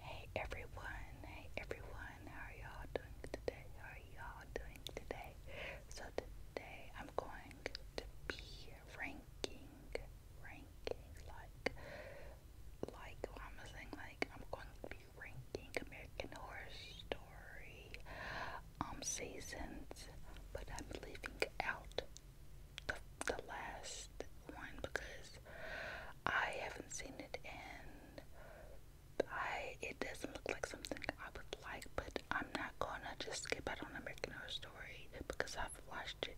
Hey everyone, hey everyone, how are y'all doing today? How are y'all doing today? So today I'm going to be ranking, ranking, like, like, I'm saying like, I'm going to be ranking American Horror Story, um, seasons, but I'm leaving out the, the last one because I haven't seen it and I it doesn't look like something I would like, but I'm not gonna just skip out on American Horror Story because I've watched it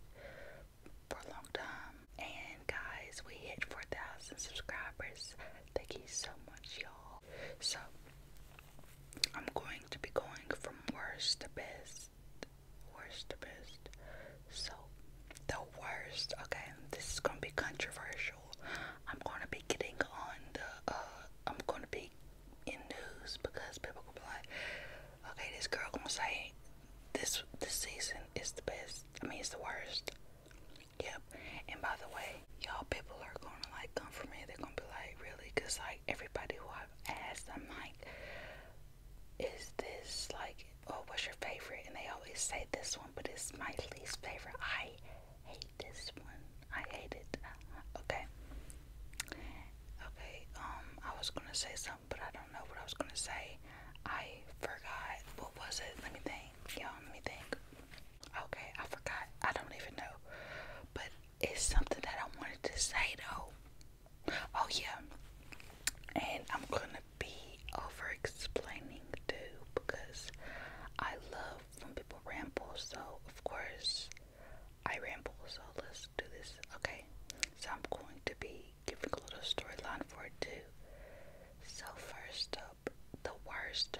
for a long time. And guys, we hit 4,000 subscribers. Thank you so much, y'all. So I'm going to be going from worst to best, worst to best. So the worst. Okay, this is gonna be controversial. I'm gonna be getting on the. Uh, I'm gonna be in news because people will be like, "Okay, this girl gonna say this this season is the best. I mean, it's the worst." Yep. And by the way, y'all people are gonna like come for me. They're gonna be like, "Really?" Because like everybody who I've asked, I'm like, "Is this like?" oh, what's your favorite? And they always say this one, but it's my least favorite. I hate this one. I hate it. Okay. Okay, um, I was gonna say something, but I don't know what I was gonna say. I forgot. What was it? Let me think. Y'all, let me think. Okay, I forgot. I don't even know. But it's something that I wanted to say though. Oh yeah. And I'm gonna be over explaining too because I love when people ramble, so of course I ramble. So let's do this, okay? So I'm going to be giving a little storyline for it too. So, first up, the worst,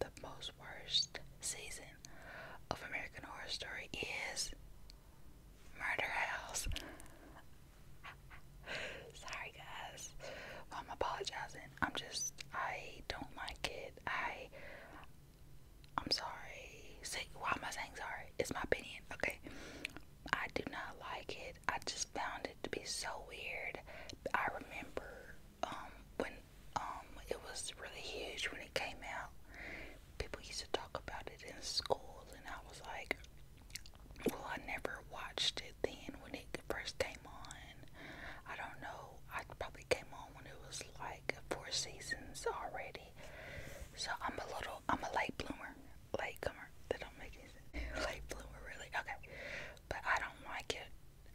the most worst season of American Horror Story is Murder House. Sorry, guys. I'm apologizing. I'm just, I don't like it. I, I'm sorry. See, why am I saying sorry? It's my opinion, okay? I do not like it. I just found it to be so weird. I remember um, when um, it was really huge when it came out. People used to talk about it in school, and I was like, well, I never watched it then when it first came on. I don't know. I probably came on when it was like four seasons already. So I'm a little, I'm a late bloomer, late comer. That don't make sense. Late bloomer, really. Okay, but I don't like it.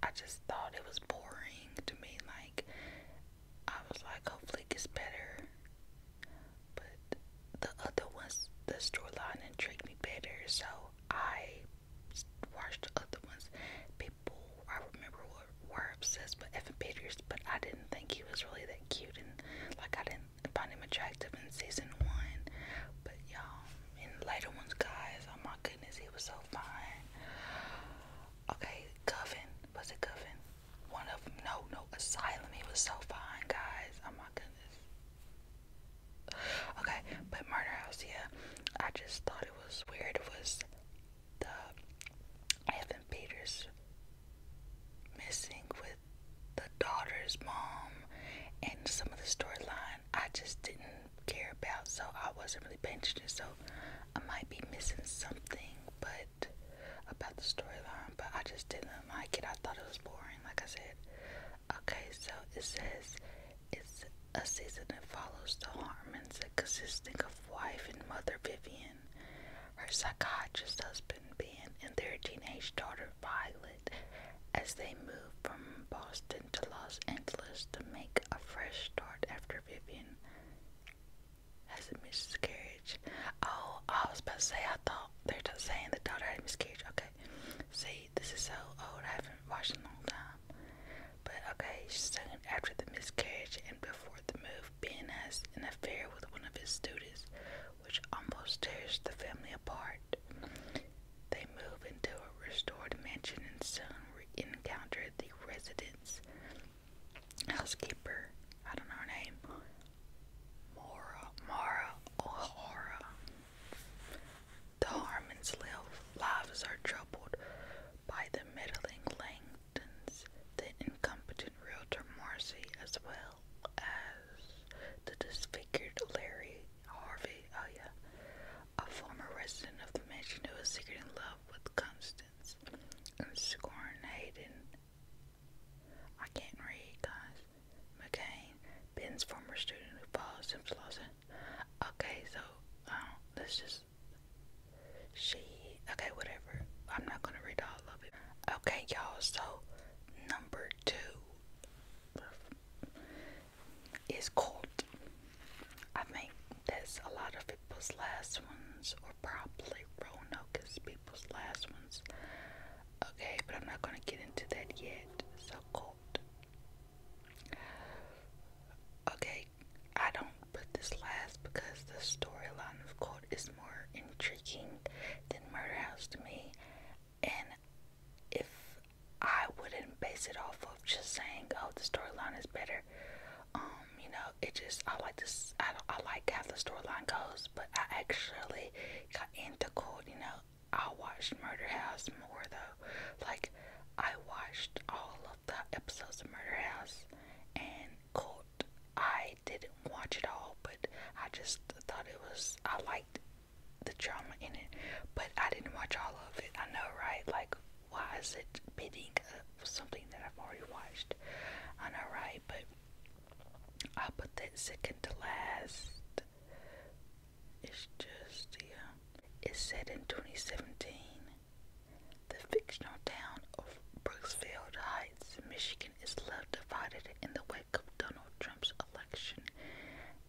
I just thought it was boring to me. Like I was like, hopefully it better. But the other ones, the storyline intrigued me better. So I watched other ones. People I remember were, were obsessed with Evan Peters, but I didn't think he was really that cute, and like I didn't find him attractive in season one. But y'all, in later ones, guys, oh my goodness, he was so fine. Okay, Coven, was it Coven? One of them, no, no, Asylum. He was so fine, guys. Oh my goodness. Okay, but Murder House, yeah. I just thought it was weird. It was the Evan Peters missing with the daughter's mom and some of the storyline I just didn't care about, so I wasn't really paying attention. So I might be missing something, but about the storyline, but I just didn't like it. I thought it was boring. Like I said, Okay, so it says it's a season that follows the Harmons, consisting of wife and mother Vivian, her psychiatrist husband Ben, and their teenage daughter Violet, as they move from Boston to Los Angeles to make a fresh start after Vivian has a miscarriage. Oh, I was about to say I thought they're saying the daughter had a miscarriage. Okay, see, this is so old. I haven't watched in a long time. But okay, soon after the miscarriage and before the move, Ben has an affair with one of his students, which almost tears the family apart. They move into a restored mansion and soon encounter the resident's housekeeper. I don't know her name. Mora, Mara, O'Hara. The Harmons' lives are troubled by the meddling Langtons, the incompetent realtor Marcy, as well as the disfigured Larry Harvey, oh yeah, a former resident of the mansion who was secretly in love with Constance and scorned Hayden. I can't read, guys. McCain, Ben's former student who follows him to Okay, so um, let's just she okay, whatever. I'm not gonna read all of it. Okay, y'all. So number two is Colt. I think there's a lot of people's last ones, or probably Roanoke is people's last ones. Okay, but I'm not gonna get into that yet. So Colt. Okay, I don't put this last because the storyline of Colt is more intriguing than Murder House to me. And if I wouldn't base it off of just saying, "Oh, the storyline is better," um, you know, it just I like this. I I like how the storyline goes, but I actually got into Colt, you know, I watched Murder House more though. Like I watched all of the episodes of Murder House and Court. I didn't watch it all, but I just thought it was I liked the drama in it, but I didn't watch all of it. I know, right? Like, why is it bidding up something that I've already watched? I know, right? But I put that second to last it's just, yeah. It's set in 2017. The fictional town of Brooksfield Heights, Michigan is left divided in the wake of Donald Trump's election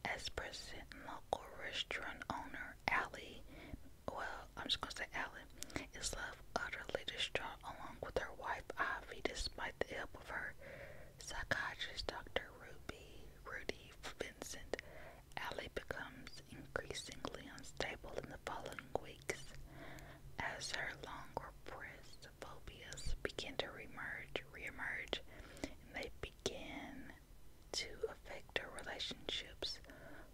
as president local restaurant owner Ally, well, I'm just going to say Allie, is left utterly distraught along with her wife Ivy despite the help of her Psychiatrist Dr. Ruby Rudy Vincent Alley becomes increasingly unstable in the following weeks as her long repressed phobias begin to reemerge, reemerge, and they begin to affect her relationships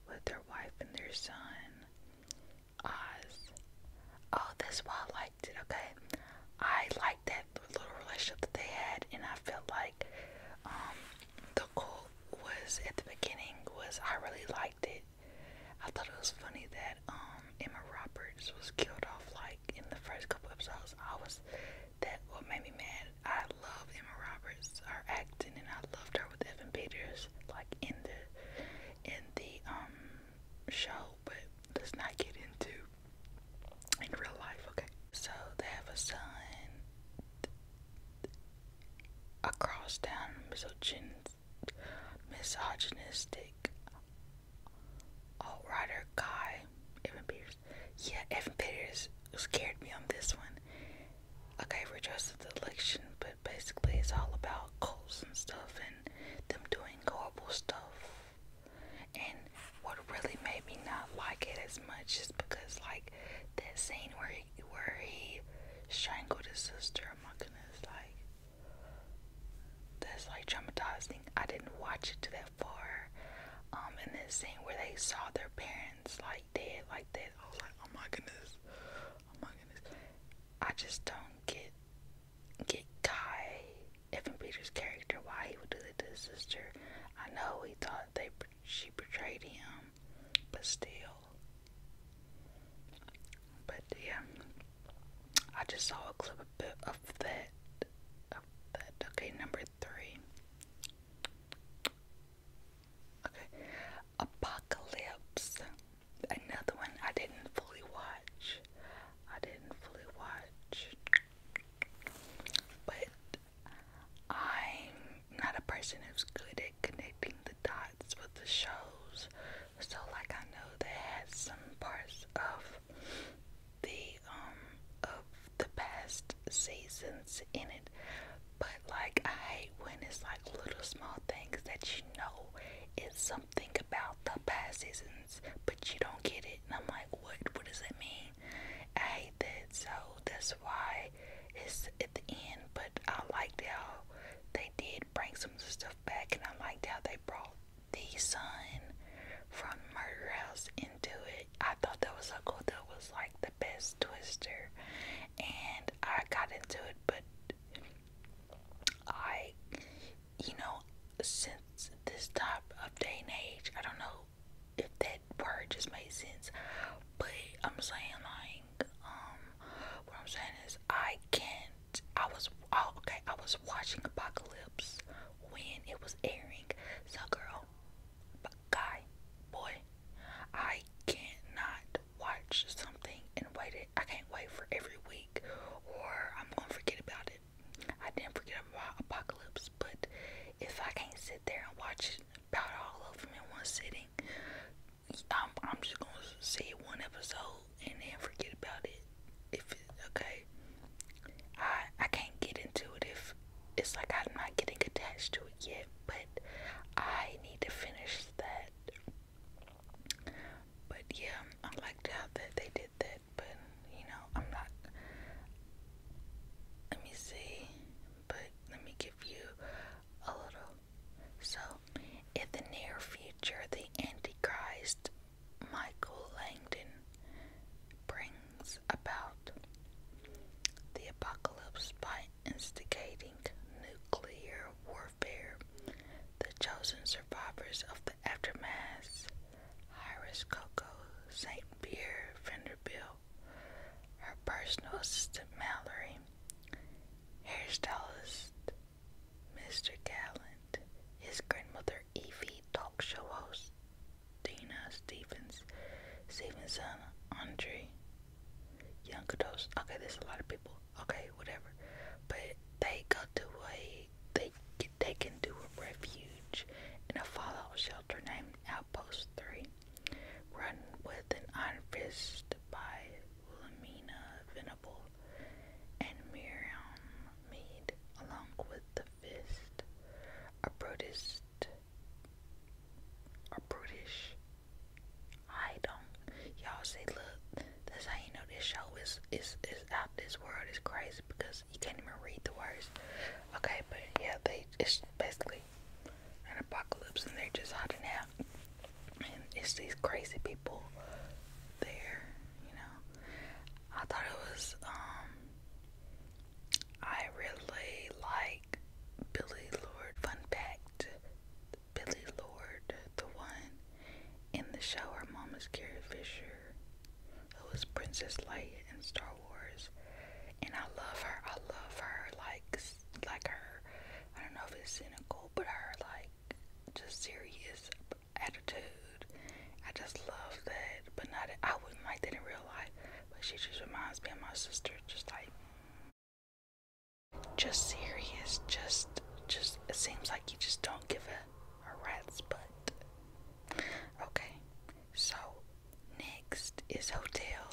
with her wife and their son, Oz. Oh, that's why I liked it. Okay, I liked that like the little relationship that they had, and I felt like um, the cult was at the beginning was I really liked it. I thought it was funny that um, Emma Roberts was killed off like in the first couple episodes. I was that what made me mad. I love Emma Roberts, her acting, and I loved her with Evan Peters, like in the in the um show. But let's not get into in real life, okay? So they have a son across down misogyn misogynistic alt rider guy, Evan Peters. Yeah, Evan Peters scared me on this one. Okay, we're just the election, but basically it's all about cults and stuff and them doing horrible stuff and what really made me not like it as much is because like that scene where he, where he strangled his sister. Oh my goodness, like that's like traumatizing. I didn't watch it to that far. Um, and this scene where they saw their parents like dead like that, I was like, oh my goodness, oh my goodness. I just don't get get Kai Evan Peters' character why he would do that to his sister. I know he thought they she betrayed him, but still. But yeah, I just saw a clip of, that. Okay, number three. Okay, Apocalypse. Another one I didn't fully watch. I didn't fully watch, but I'm not a person who's good at connecting the dots with the shows. So like I know they had some parts of the um of the past seasons in it. But like I hate when it's like little small things that you know is something about the past seasons but you don't get it and I'm like what what does it mean? I hate that, so that's why it's at the end. But I liked how they did bring some stuff back, and I liked how they brought the son from Murder House into it. I thought that was so cool. That was like the best twister, and I got into it, but I, you know, since this type of day and age, I don't know if that word just made sense. But I'm saying like, um, what I'm saying is I can't. I was oh, okay. I was watching Apocalypse when it was airing. So girl, guy, boy, I not watch something and wait. It. I can't wait for every week, or I'm gonna forget about it. I didn't forget apocalypse, but if I can't sit there and watch it about all of them in one sitting, I'm, I'm just gonna see one episode and then forget about it. If it, okay, I I can't get into it if it's like I'm not getting attached to it yet, but I need to finish that. But yeah, I liked how that they did that, but you know, I'm not. Let me see but let me give you a little. So, in the near future, the Antichrist Michael Langdon brings about the apocalypse by instigating nuclear warfare. The chosen survivors of the aftermath Iris Coco, St. Pierre Vanderbilt, her personal assistant Mallory, hairstylist Mr. Gallant, his grandmother Evie, talk show host Dina Stevens, Stevenson Andre, young adults. Okay, there's a lot of people. Okay, whatever. But they go to a they they can do a refuge in a fallout shelter named Post 3. Run with an Iron by Wilhelmina Venable and Miriam Mead, along with The Fist, a British, a British, I don't, y'all say, look, that's how you know this show is, is, is out this world, is crazy, because you can't even read the words, okay, but yeah, they, it's basically an apocalypse and they're just hiding out. And it's these crazy people there, you know. I thought it was um, I really like Billy Lord fun fact. Billy Lord, the one in the show her Carrie Fisher, who was Princess Leia in Star and I love her. I love her like like her. I don't know if it's cynical, but her like just serious attitude. I just love that, but not. I wouldn't like that in real life. But she just reminds me of my sister, just like just serious. Just just it seems like you just don't give a a rat's butt. Okay, so Next is hotel.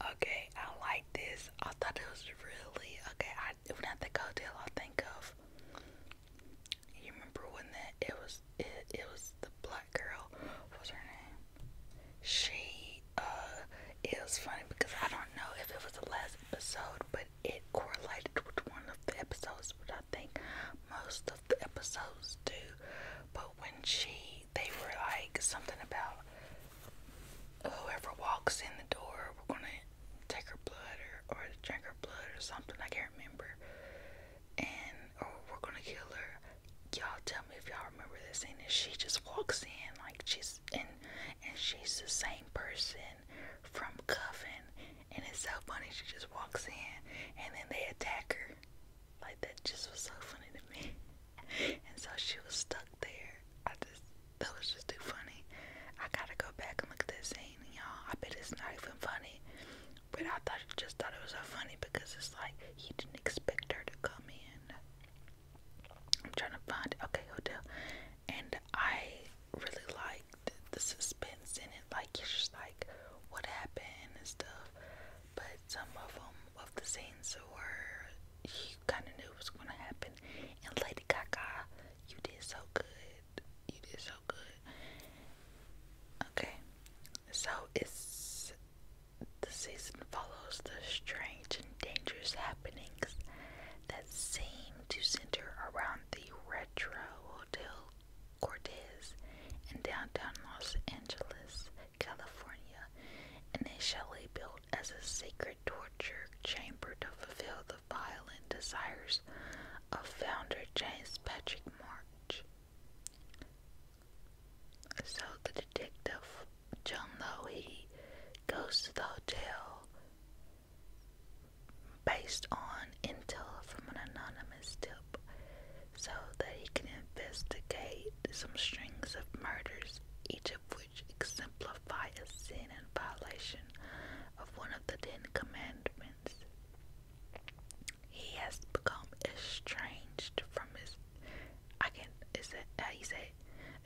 Okay, I like this. I thought it was really okay. I when I the hotel, I think of you remember when that it was it it was the black girl. What was her name? She uh it was funny because I don't know if it was the last episode, but it correlated with one of the episodes. What I think most of the episodes do. But when she, they were like something about whoever walks in the door, we're gonna take her blood or, or drink her blood or something. I can't remember. And or we're gonna kill her. Y'all tell me if y'all remember this scene. And she just walks in like she's and and she's the same person from Coven. And it's so funny. She just walks in and then they attack her. Like that just was so funny to me. And so she was stuck there. I just that was just too funny. I gotta go back and look at that scene, y'all. I bet it's not even funny. But I thought just thought it was so funny because it's like he didn't expect her to come in. I'm trying to find okay hotel, and I really liked the suspense in it. Like it's just like what happened and stuff but some of them, of the scenes were, you kind of knew it was going to happen. And Lady Gaga, you did so good. You did so good. Okay, so it's the season follows the strange and dangerous happenings that seem to center around the retro hotel Cortez in downtown Los Angeles, California, and in shall be built as a sacred torture chamber to fulfill the violent desires of founder James Patrick March. So the detective, John Lowe, goes to the hotel based on intel from an anonymous tip so that he can investigate some strings of murders, each of which exemplify a sin and violation of one of the Ten Commandments. He has become estranged from his I can is that how you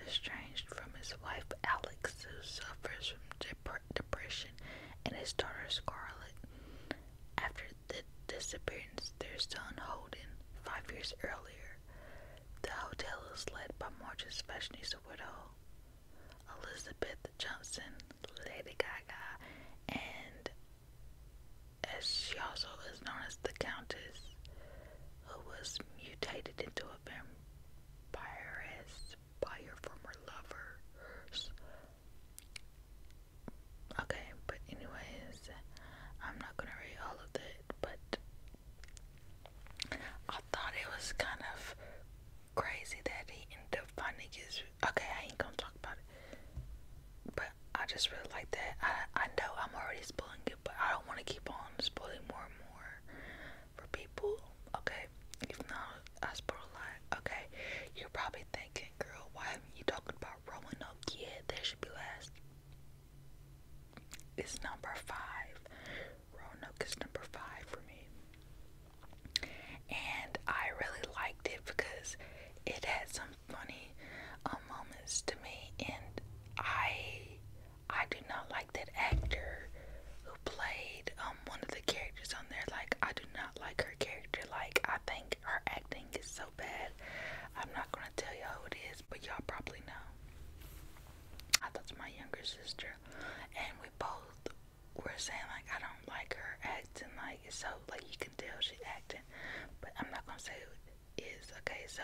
estranged from his wife Alex who suffers from depression and his daughter Scarlet. After the disappearance their son Holden, five years earlier, the hotel is led by Marge's fashionista widow, Elizabeth Johnson, Lady Gaga, and as she also is known as the Countess, who was mutated into a vampiress by her former lovers. Okay, but anyways, I'm not gonna read all of it, but I thought it was kind of crazy that he ended up finding his. Okay, I ain't gonna talk about it, but I just really like that. I I know I'm already spoiling it, but I don't want to keep on spoiling more and more for people. Okay, even though I spoil a lot. Okay, you're probably thinking, girl, why haven't you talked about? about Roanoke. Yeah, There should be less. It's number five. Roanoke is number five for me. And I really liked it because it had some funny um, moments to me, and I I do not like that actor who played um one of the characters on there. Like I do not like her character. Like I think her acting is so bad. I'm not gonna tell you who it is, but y'all probably know. I thought to my younger sister, and we both were saying like I don't like her acting like it's so like you can tell she's acting, but I'm not gonna say who it is. Okay, so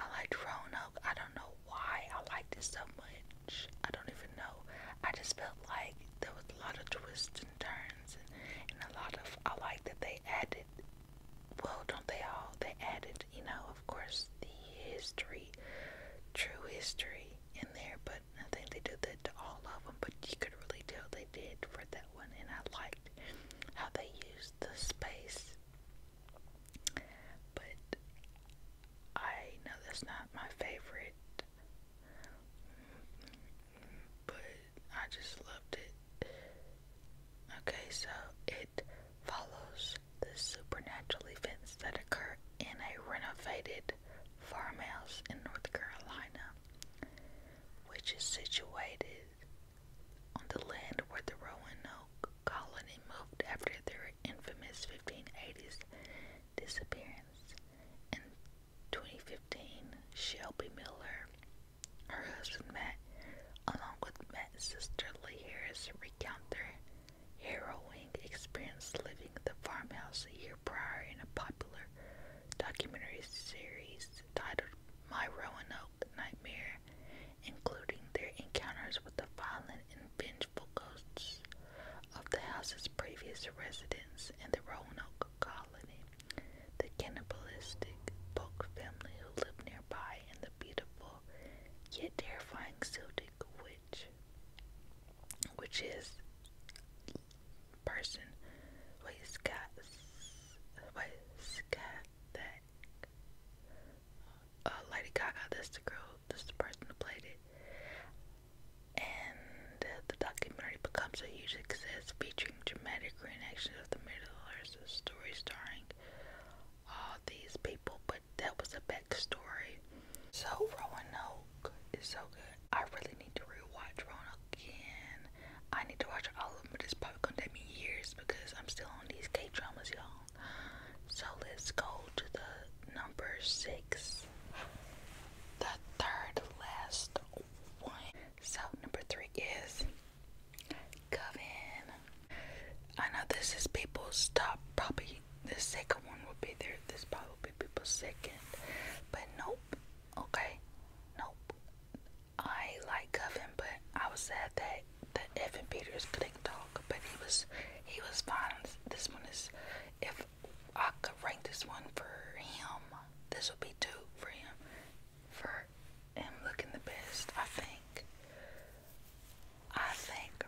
I liked Roanoke. I don't know why I like this so much. I don't even know. I just felt like there was a lot of twists and turns, and a lot of I like that they added well, don't they all? They added, you know, of course, the history, true history in there, but I think they did that to all of them, but you could really tell they did for that one, and I liked how they used the space. But I know that's not my favorite, but I just loved it. Okay, so it follows the supernatural events that occur in a renovated farmhouse in North Carolina, which is situated on the land where the Roanoke colony moved after their infamous 1580s disappearance. In 2015, Shelby Miller her husband Matt, along with Matt's sister Lee Harris, recount their harrowing experience living the farmhouse a year prior in a popular documentary series titled My Roanoke Nightmare, including their encounters with the violent and vengeful ghosts of the house's previous residents and the Roanoke the cannibalistic Polk family who live nearby and the beautiful yet terrifying Celtic witch, which is person that uh, Lady Gaga, that's the girl, that's the person who played it. And the documentary becomes a huge success, featuring dramatic reenactions of the Middle story starring all these people, but that was a backstory. So Roanoke is so good. I really need to rewatch Roanoke again. I need to watch all of them, but it's probably gonna take me years because I'm still on these K dramas, y'all. So let's go to the number six, the third last one. So number three is Coven. I know this is people's top, probably the second one will be there. This probably will be people's second, but nope. Okay, nope. I like Coven, but I was sad that the Evan Peters couldn't talk, but he was he was fine. This one is if I could rank this one for him, this would be two for him for him looking the best, I think. I think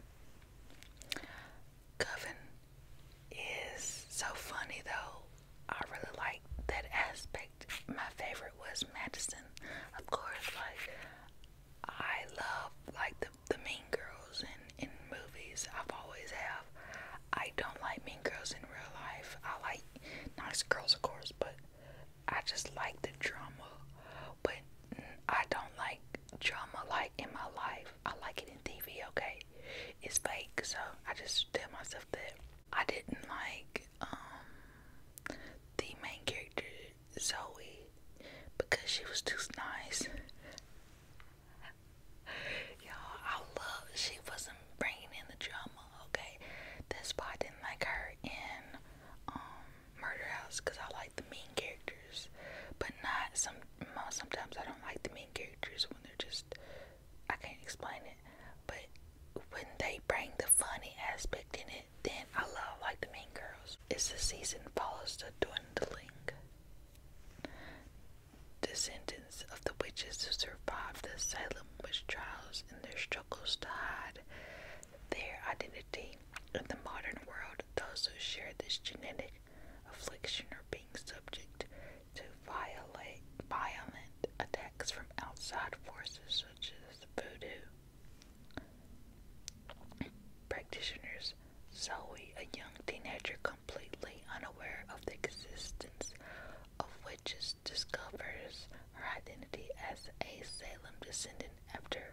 Coven is so funny though. I really like that aspect. My favorite was Madison, of course. Like I love like the the Mean Girls in in movies. I've always have. I don't like Mean Girls in real life. I like nice girls, of course, but I just like the drama, but I don't like drama like in my life. I like it in TV, okay? It's fake, so I just tell myself that I didn't like um the main character Zoe because she was too nice. Y'all, I love she wasn't bringing in the drama, okay? That's why I didn't like her in um, Murder House because I like the mean characters, but not some. Sometimes I don't like the main characters when they're just. I can't explain it, but when they bring the funny aspect in it, then I love like the main girls. It's the season follows the dwindling descendants of the witches who survived the Salem witch trials in their struggles to hide their identity in the modern world, those who share this genetic affliction are being subject to violate, violent attacks from outside forces such as voodoo. Practitioners, Zoe, a young teenager completely unaware of the existence of witches discovers her identity as a Salem descendant after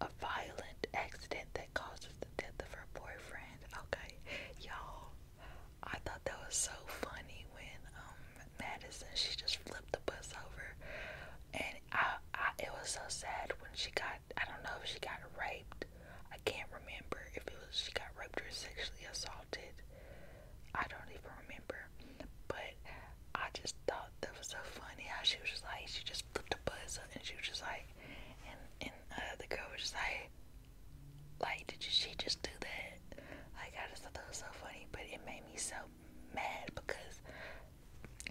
a violent accident that causes the death of her boyfriend. Okay, y'all, I thought that was so funny when um, Madison she just flipped the bus over, and I, I it was so sad when she got I don't know if she got raped. I can't remember if it was she got raped or sexually assaulted. I don't even remember, but I just thought that was so funny how she was just like she just flipped her buzz and she was just like and and uh, the girl was just like like did she just do that? Like I just thought that was so funny, but it made me so mad because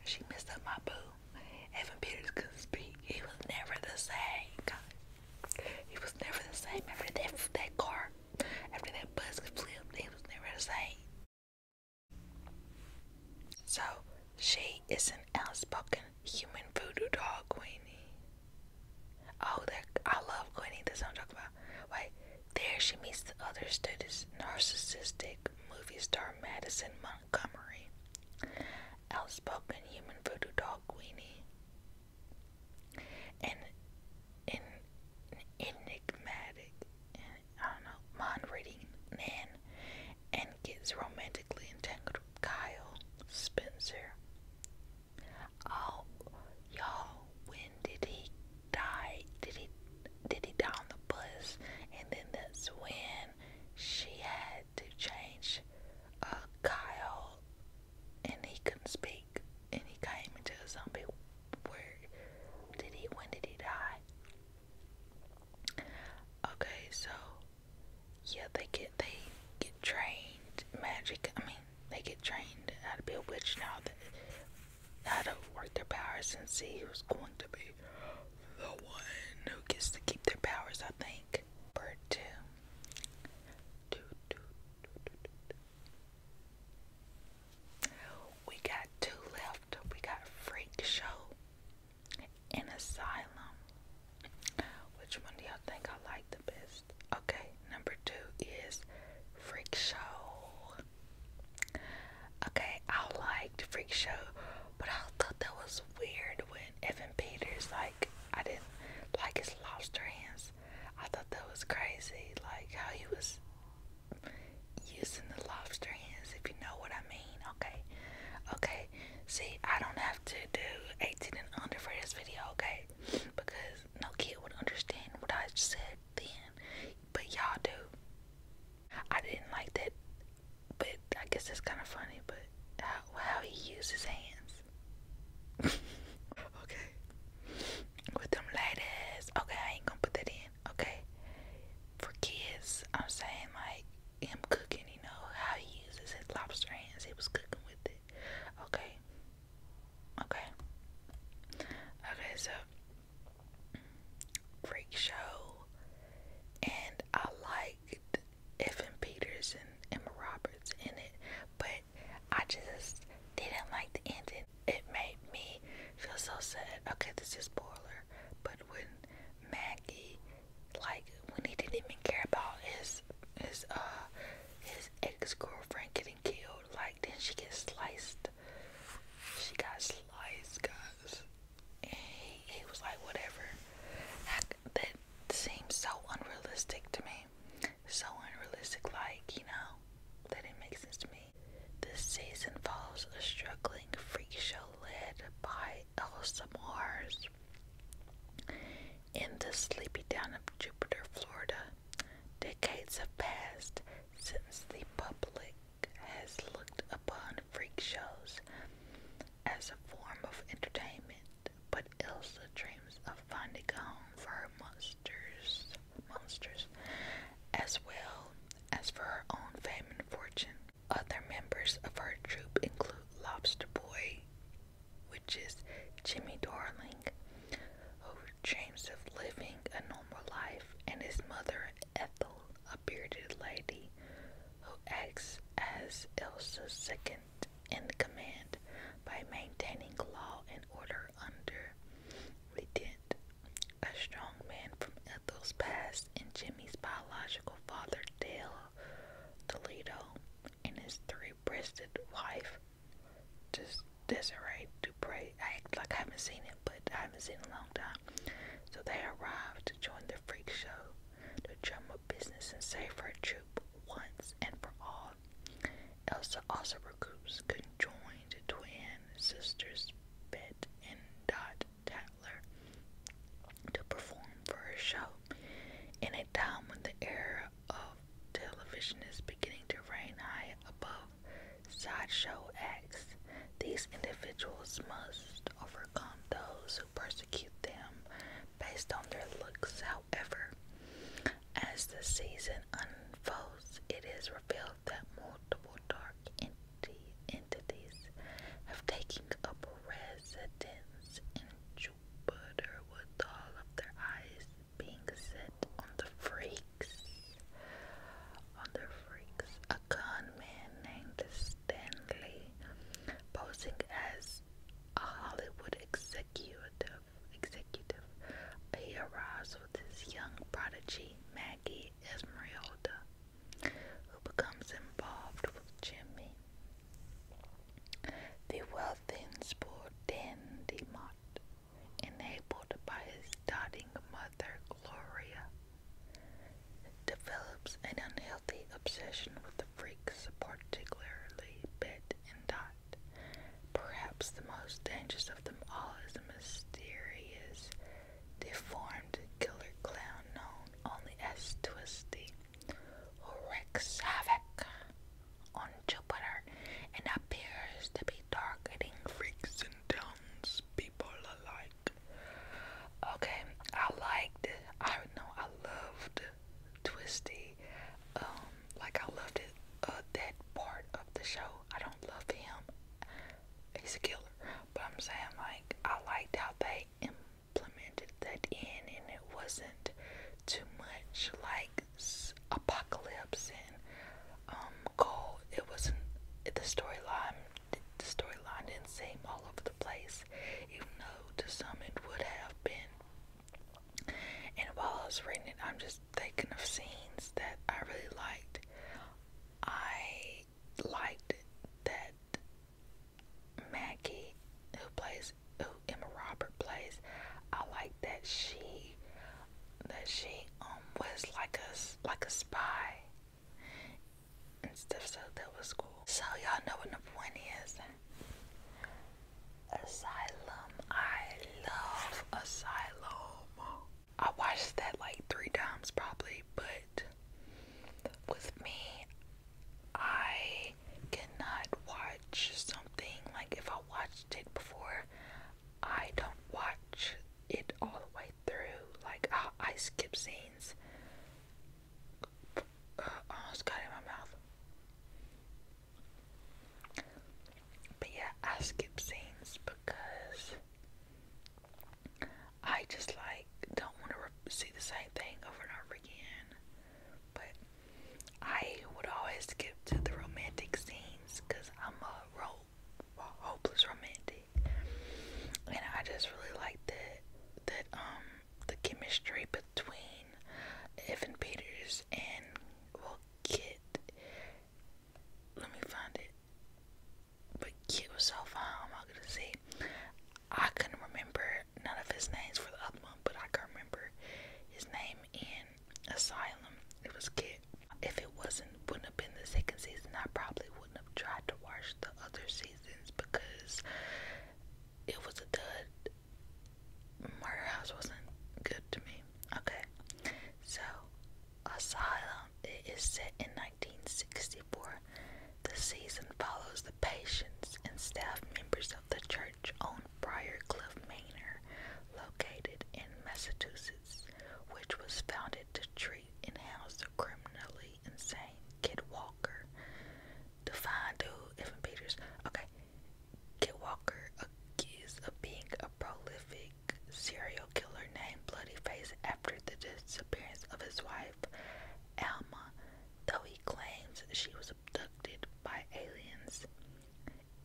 she messed up my boo. Evan Peters couldn't speak. He was never the same. He was never the same after that that car after that bus flipped, they was never the same. So she is an outspoken human voodoo doll, Queenie. Oh, that I love Queenie. That's what I'm talking about. Wait, there she meets the other students, narcissistic movie star Madison Montgomery, outspoken human voodoo doll Queenie, and an enigmatic, I don't know, mind-reading man and gets romantically entangled with Kyle Spencer. Oh, y'all, when did he die? Did he did he die on the bus? And then that's when she had to change a uh, Kyle, and he couldn't speak and he came into a zombie world. Did he? When did he die? Okay, so yeah, they get they get trained magic. I mean, they get trained how to be a witch now. That how to work their powers and see who's going to be the one who gets to keep their powers. I think. part two. We got two left. We got Freak Show and Asylum. Which one do y'all think I like the best? Okay, number two is Freak Show. Okay, I liked Freak Show, but I thought that was weird when Evan Peters, like, I didn't like his lobster hands. I thought that was crazy, like how he was using the lobster hands if you know what I mean. Okay. Okay. See, I don't have to do 18 and under for this video, okay? Because no kid would understand what I said then. But y'all do. I didn't like that. But I guess it's kind of funny, but how, how he uses hands. okay. With them ladies. Okay, I ain't gonna put that in. Okay, for kids, I'm saying like him cooking, you know, how he uses his lobster hands, he was cooking with it. Okay, okay, okay, so freak show, and I liked Evan Peters and Emma Roberts in it, but I just didn't like the ending it made me feel so sad. Okay, this is spoiler, but when Maggie, like when he didn't even care about his his uh his ex girlfriend getting killed, like then she gets sliced. She got sliced, guys, he, he was like, whatever. I, that seems so unrealistic to me. So unrealistic, like you know, that didn't make sense to me. This season follows a struggling freak show led by Elsa Mars in the sleepy town of Jupiter, Florida. Decades have passed since the public has looked upon freak shows as a form of entertainment, but Elsa dreams of finding home for her monsters monsters as well as for her own fame and fortune. Other members of her troupe include Lobster Boy, which is Jimmy Darling, who dreams of living a normal life, and his mother, Ethel, a bearded lady who acts as Elsa's second in command by maintaining law and order under. We did. A strong man from Ethel's past and Jimmy's biological father, Dale Toledo, and his three breasted wife, just Desiree Dupre. I act like I haven't seen it, but I haven't seen in a long time. So they arrived to join the freak show, to drum of business, and save her troop once and for all. Elsa also recruits conjoined twin sisters Pitt and Dot Tatler to perform for her show. In a time when the era of television is beginning to reign high above sideshow acts, these individuals must overcome those who persecute them based on their looks. However, as the season unfolds, it is revealed that multiple dark enti entities have taken up residence in Jupiter, with all of their eyes being set on the freaks. On the freaks, a con man named Stanley, posing as a Hollywood executive, executive, he arrives with his young prodigy Maggie Esmeralda, who becomes involved with Jimmy. The wealthy and spoiled Dan DeMott, enabled by his doting mother Gloria, develops an unhealthy obsession with the freaks, particularly Bet and Dot. Perhaps the most dangerous of them all is the mysterious they killer clown known only as Twisty, wreaks havoc on Jupiter and appears to be targeting freaks and townspeople alike. Okay, I liked, I know, I loved Twisty. Um, like I loved it, uh, that part of the show. I don't love him. He's a killer. But I'm saying like I liked how they implemented that in, and it wasn't too much like apocalypse and um cold. It wasn't the storyline. The storyline didn't seem all over the place, even though to some it would have been. And while I was reading it, I'm just thinking of scenes that I really liked. I liked that Maggie, who plays, who Emma Robert plays, I like that she, that she um was like a like a spy and stuff. So that was cool. So y'all know what number one is. Asylum. I love Asylum. I watched that like three times probably, but with me, I cannot watch something like if I watched it before, I don't watch it all the way through. Like I, skip scenes. Uh, almost oh, got in my mouth. yeah, I skip scenes because I just like don't want to see the same thing over and over again. But I would always skip to the romantic scenes because I'm a hopeless romantic, and I just really like that that um the chemistry between Evan Peters and Will Kit. Let me find it but cute was so fun. I'm not gonna say. I couldn't remember none of his names for the other one, but I can remember his name in Asylum. It was kid. If it wasn't, wouldn't have been the second season. I probably wouldn't have tried to watch the other seasons because it was a dud. Murder House wasn't good to me. Okay, so asylum. It is set in 1964. The season follows the patients and staff members of the church on Briarcliff Manor, located in Massachusetts, which was founded to treat and house criminally insane Kid Walker. The fine dude, Evan Peters. Okay, Kid Walker accused of being a prolific serial killer named Bloody Face after the disappearance of his wife, Alma, though he claims she was abducted by aliens,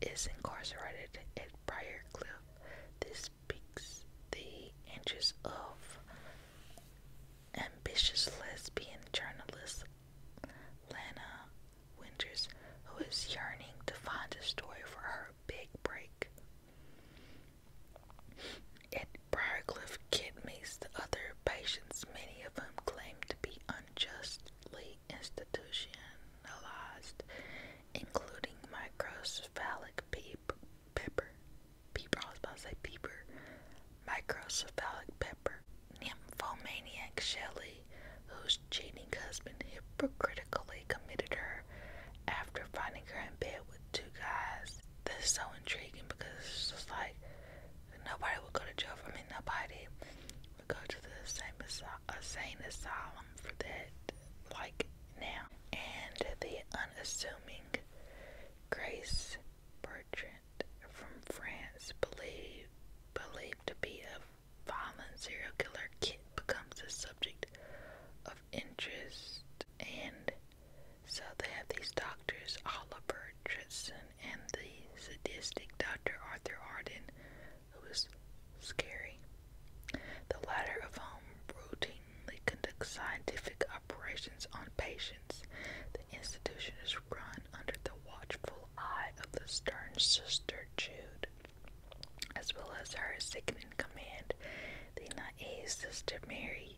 is incarcerated at Briarcliff. This peaks the interest of ambitious lesbian journalist Lana Winters, who is yearning to find a story for her big break. At Briarcliff, Kit the other patients, many of whom claim to be unjustly institutionalized, including microcephalic peep, pepper, peeper, I was about to say peeper, microcephalic pepper, nymphomaniac Shelley, whose cheating husband hypocritically committed her after finding her in bed with two guys. This is so intriguing because like nobody would go to jail. I mean, nobody would go to the same asy- insane asylum for that, like now. And the unassuming Grace Bertrand from France, believed believed to be a violent serial killer, becomes the subject of interest and so they have these doctors, Oliver Tritson and the sadistic Dr. Arthur Arden, who is scary. The latter of whom routinely conducts scientific operations on patients. The institution is run under the watchful eye of the stern sister Jude, as well as her second in command, the naive sister Mary.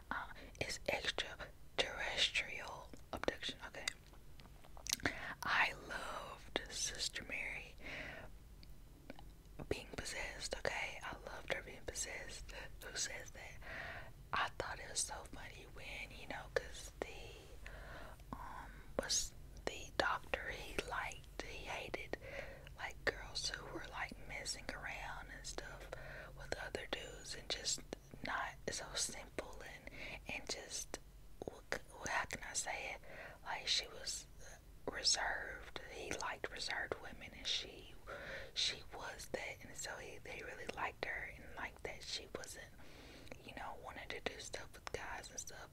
Uh, is extraterrestrial abduction. Okay, I loved Sister Mary being possessed. Okay, I loved her being possessed. Who says that? I thought it was so funny when you know, cause the um was the doctor he liked, he hated like girls who were like messing around and stuff with other dudes and just not so simple and and just how can I say it? Like she was reserved. He liked reserved women, and she she was that, and so he they really liked her and like that she wasn't, you know, wanting to do stuff with guys and stuff.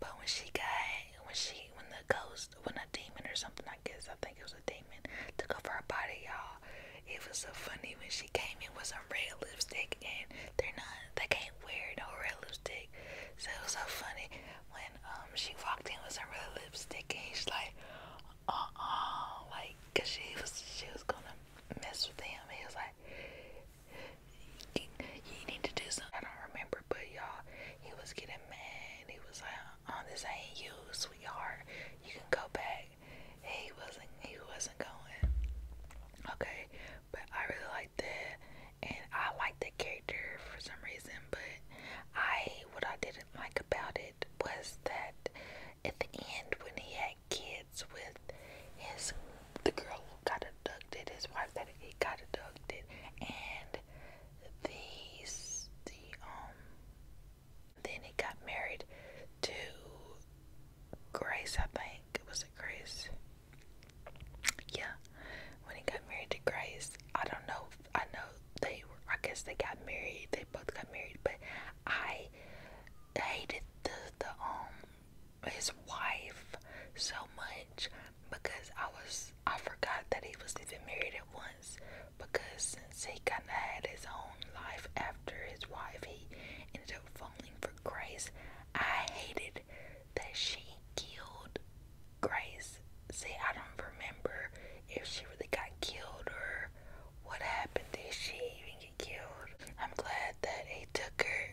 But when she got when she when the ghost when a demon or something I guess I think it was a demon. Took off her body, y'all. It was so funny when she came in with some red lipstick, and they're not, they can't wear no red lipstick. So it was so funny when um she walked in with some red lipstick, and she's like, uh uh, like, cause she was she was gonna mess with him. He was like, you, you need to do something. I don't remember, but y'all, he was getting mad. He was like, oh, this ain't you sweetheart. You can go back. He wasn't he wasn't going. Okay. But I really like that and I like the character for some reason, but I what I didn't like about it was that at the end when he had kids with his the girl who got abducted, his wife that he got abducted and these the um then he got married to Grace, I think. Was it Grace? Yeah. When he got married to Grace, I don't know. I know they were, I guess they got married. They both got married, but I hated the, the, um, his wife so much because I was I forgot that he was even married at once because since he kind of had his own life after his wife, he ended up falling for Grace. I hated that she killed Grace. See, I don't remember if she really got killed or what happened. to she even get killed? I'm glad that he took her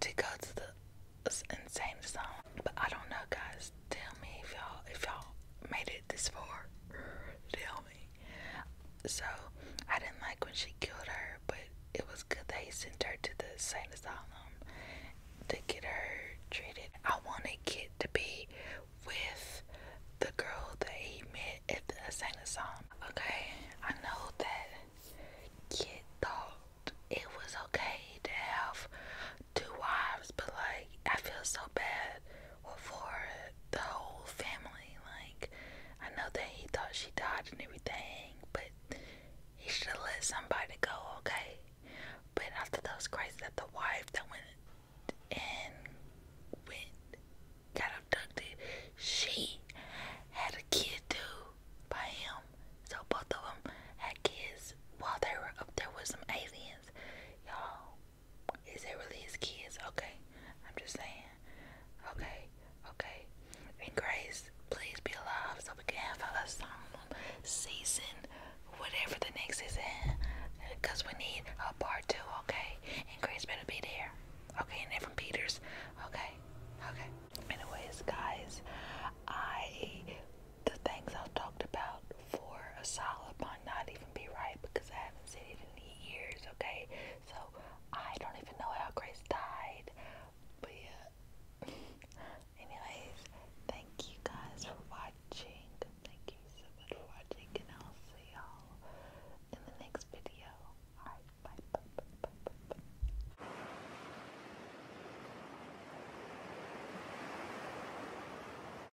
to go to the insane song, But I don't know, guys. Tell me if y'all if y'all made it this for? Tell me. So I didn't like when she killed her, but it was good that he sent her to the same asylum to get her treated. I want wanted Kit to be with the girl that he met at the insane asylum. Okay, I know that kid thought it was okay to have two wives, but like I feel so bad for the whole family. Like I know that he thought she died and everything, but he should have let somebody go, okay? But after those crazy that the wife that went in, went got abducted, she had a kid too by him. So both of them had kids while they were up there with some aliens. Y'all, is it really his kids? Okay. I'm just saying. Okay. Okay. And Grace, please be alive so we can have a solemn season, whatever the next is in. Because we need a part two, okay? And Grace better be there. Okay, and then from Peters. Okay. Okay. Anyways, guys, I the things I've talked about for a solid might not even be right because I haven't seen it in years, okay? So I don't even know how Grace died. But yeah. Anyways, thank you guys for watching. Thank you so much for watching and I'll see y'all in the next video. bye.